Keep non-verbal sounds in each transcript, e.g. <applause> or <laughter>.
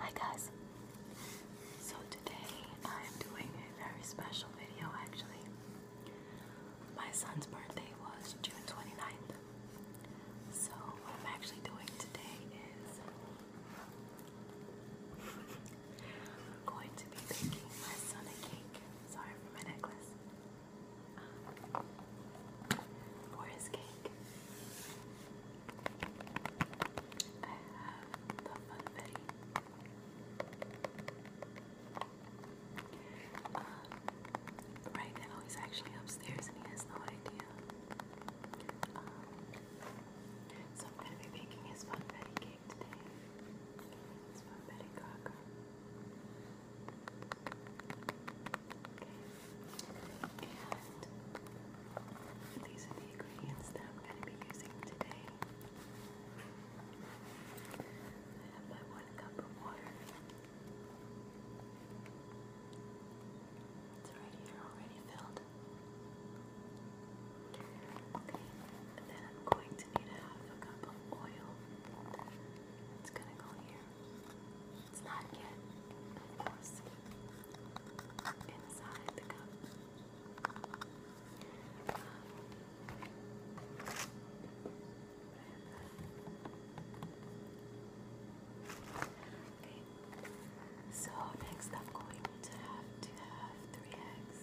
Hi guys! So today I am doing a very special video actually. My son's birthday was June 29th. So what I'm actually doing today is I'm <laughs> going to be making my son a cake. Sorry for my necklace. Uh, for his cake. I have the Funfetti. Um, right now he's actually upstairs and he has no idea. Um, so I'm going to be making his Funfetti cake today. Funfetti cracker. And these are the ingredients that I'm going to be using today. I have my one cup of water. It's right here, already filled. Okay, and then I'm going to need a half a cup of oil. It's gonna go here. It's not yet, of inside the cup. okay, so next I'm going to have to have three eggs.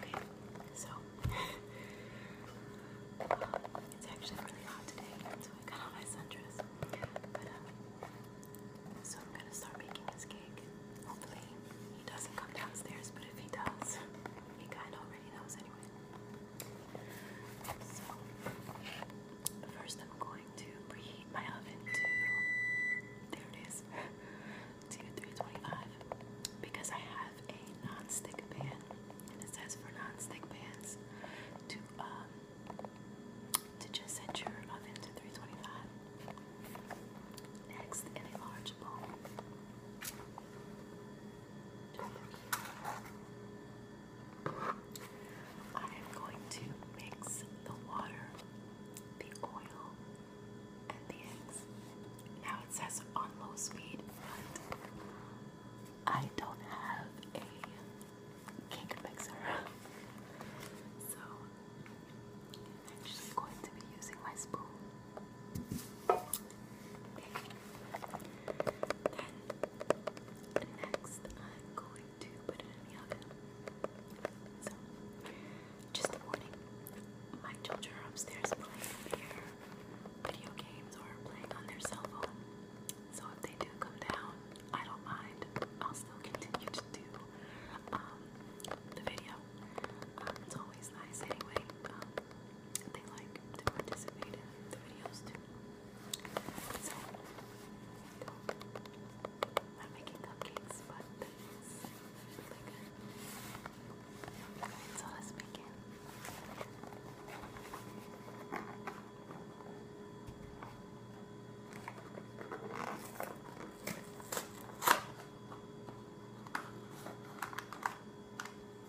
Okay, so <laughs> it's actually really hot today, so I got on my sundress. Um, so I'm gonna start making this cake. Hopefully he doesn't come downstairs, but if he does, he kinda already knows anyway. So, first I'm going to preheat my oven to, there it is, <laughs> to 325 because I have a non-stick pan and it says for non-stick pans to, um, to just set your oven to 325. Next, in large bowl, just I am going to mix the water, the oil, and the eggs. Now it says on low speed, but I don't have a cake mixer. <laughs> so I'm actually going to be using my spoon. Then next, I'm going to put it in the oven. So, just a warning: my children are upstairs playing their video games or playing on their cell phone. So if they do come down, I don't mind. I'll still continue to do the video. it's always nice anyway they like to participate in the videos too. So I'm making cupcakes, but that is really good. so let's begin.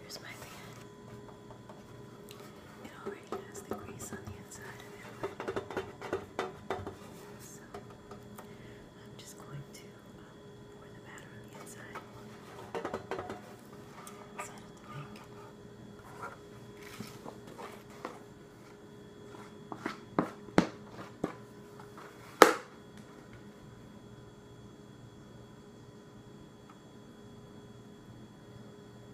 Here's my fan. It already has the grease on the inside of it. So I'm just going to um, pour the batter on the inside. Set it to bake.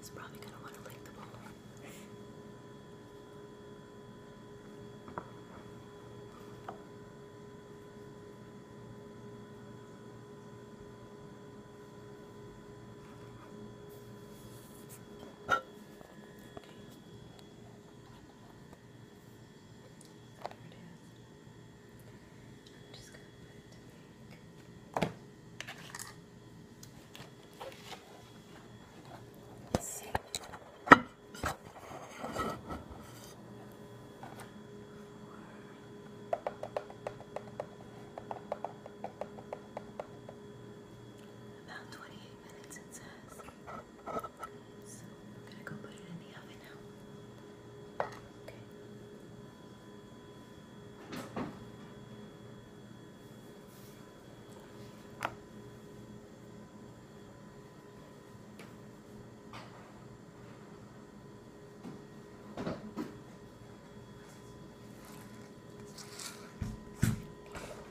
It's probably going to want to lick the bowl. Okay. I'm there it just going to put it About 28 minutes it says. So I'm gonna go put it in the oven now. Okay.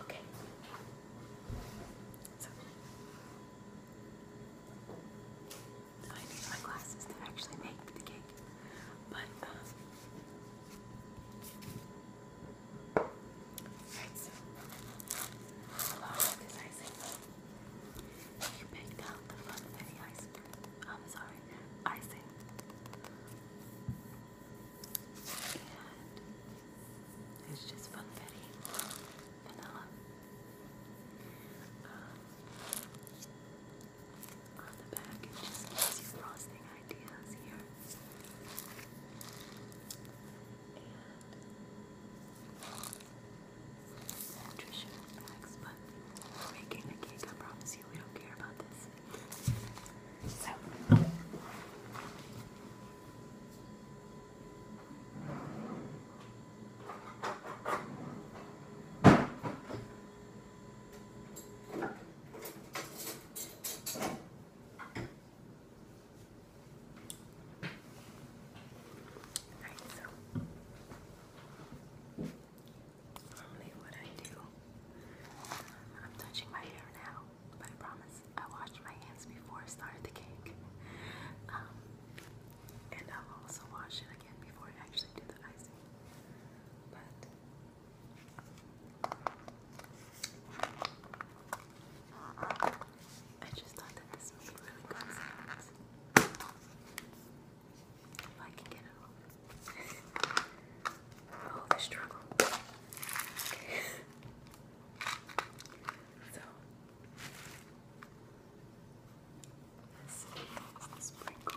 Okay. So I need my glasses to actually make the cake, but um, so along with this you picked out the funfetti icing. I'm sorry, icing. And it's just funfetti, vanilla. on the back, it just gives you frosting ideas here. And Trisha but making a cake, I promise you we don't care about this. So Alright, what I do, I'm touching my hair now, but I promise I washed my hands before I started the cake. Um, and I'll also wash it again before I actually do the icing. But I just thought that this would be really good If I can get it off. <laughs> oh, the struggle. <laughs> so, let's sprinkle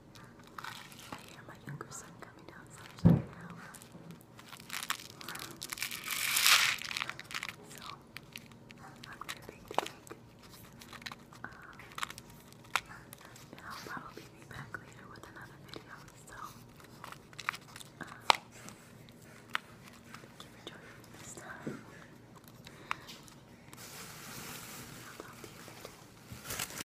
I hear my younger son coming downstairs right now. So, I'm gonna bake um, I'll probably be back later with another video. So, um, thank this time. I'll talk to you